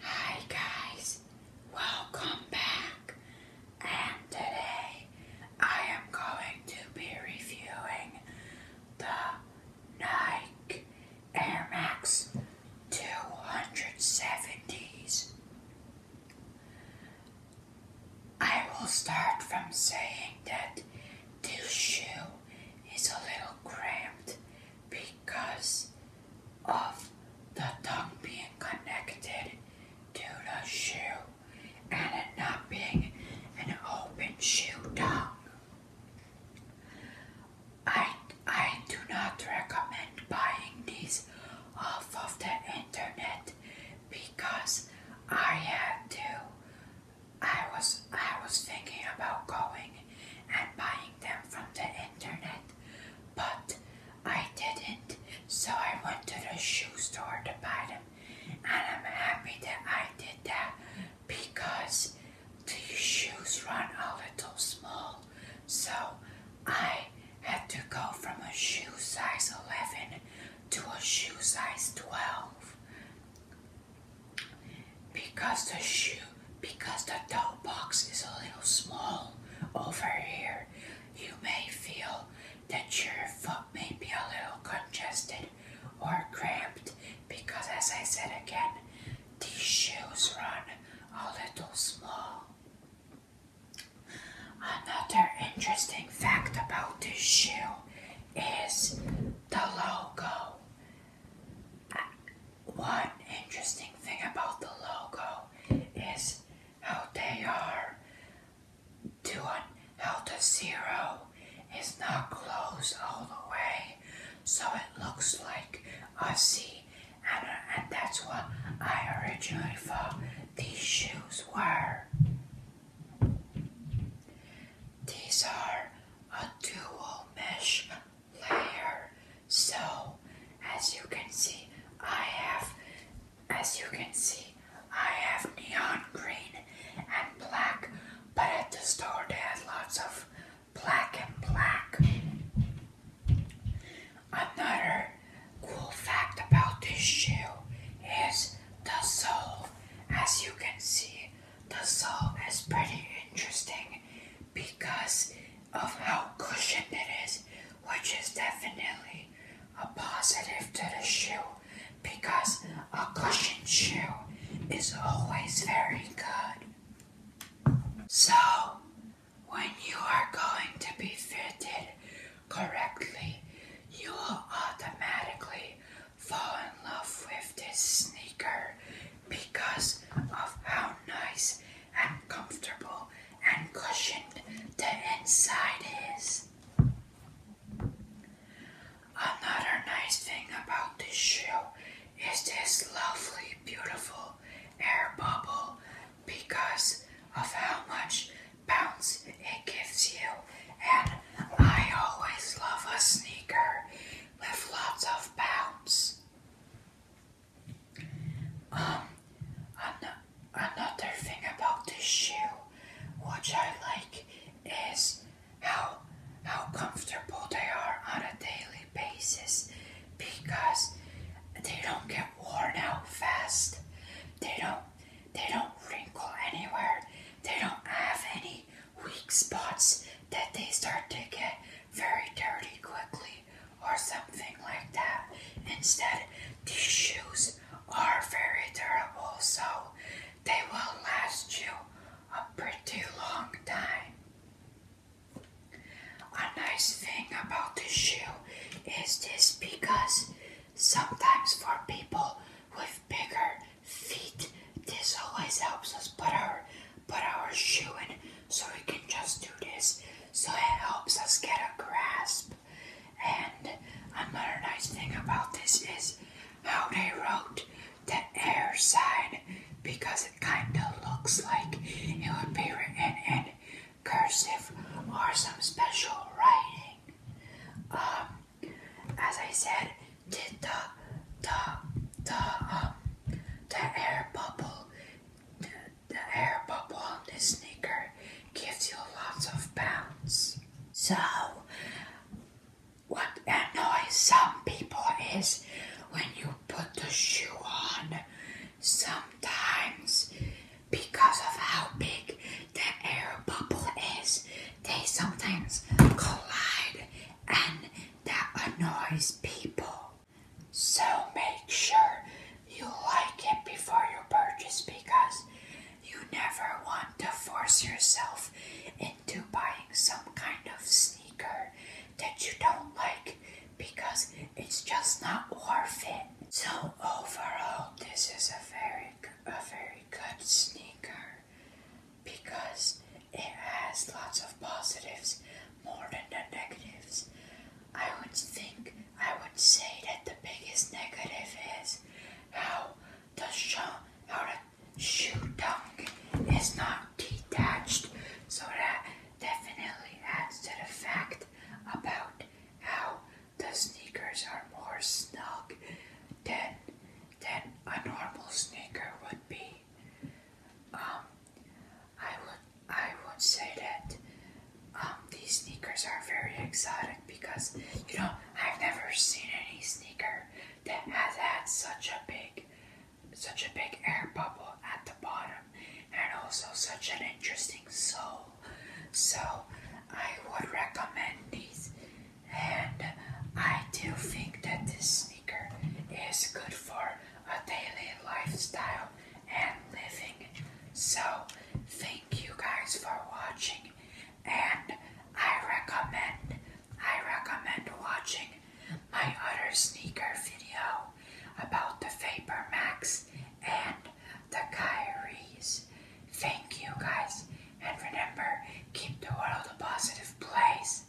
Hi guys, welcome back. And today I am going to be reviewing the Nike Air Max 270s. I will start from saying that this shoe is a little cramped because of the tongue being connected to the shoe and it not being an open shoe tongue. I, I do not recommend buying these off of the internet because I had to. I was I was thinking about going and buying them from the internet, but I didn't, so I went to the shoe store to buy them, and I'm happy that I did that because these shoes run a little small, so I had to go from a shoe size 11 to a shoe size 12. Because the shoe, because the toe box is a little small over here, you may feel that your foot may be a little congested or cramped because as I said again, these shoes run a little small. Another interesting fact about this shoe is the logo. One interesting thing about the logo is how they are doing how zero is not closed all the way, so it looks like a C, and, and that's what I originally thought these shoes were. These are a dual mesh so, as you can see, I have, as you can see, I have neon green and black, but at the store they had lots of black and black. Another cool fact about this shoe is the sole. As you can see, the sole is pretty interesting because of how cushioned it is, which is definitely a positive to the shoe because a cushioned shoe is always very good. So, when you are going to be fitted correctly, you will automatically fall in love with this sneaker because of how nice and comfortable and cushioned the inside is. Another nice thing about this shoe is this lovely, beautiful air bubble because of how much bounce it gives you. And I always love a sneaker with lots of bounce. Um, another thing about this shoe, which I like, is how how comfortable they are on a daily basis because they don't get worn out fast. They don't they don't wrinkle anywhere. They don't have any weak spots that they start to get very dirty quickly or something like that. Instead, these shoes are very durable, so they will last you a pretty long time. A nice thing about this shoe is this because sometimes for people with bigger feet, this always helps us put our put our shoe in so we can just do this so it helps us get a grasp. And another nice thing about this is how they wrote the air sign because it kind of looks like it would be written in cursive or some special writing. Um, as I said, did the, the, um, the air bubble, the, air bubble on this sneaker gives you lots of bounce. So, what annoys some people is when you put the shoe on, sometimes because of how big the air bubble is, they sometimes collide and that annoys people. So make sure you like it before you purchase because you never want to force yourself into buying some kind of sneaker that you don't like because it's just not worth it. So overall, this is a very, a very good sneaker because it has lots of positives more than the negatives. I would think, I would say that the biggest negative is how the, show, how the shoe tongue is not detached. So that definitely adds to the fact about how the sneakers are more snug than, than a normal sneaker would be. Um, I would I would say that um, these sneakers are very exotic because you know I've never seen any sneaker that has had such a big such a big air bubble at the bottom and also such an interesting sole. So I would recommend these and I do think that this sneaker is good for a daily lifestyle and living. So, thank you guys for watching, and I recommend I recommend watching my other sneaker video about the Vapor Max and the Kyries. Thank you guys, and remember, keep the world a positive place.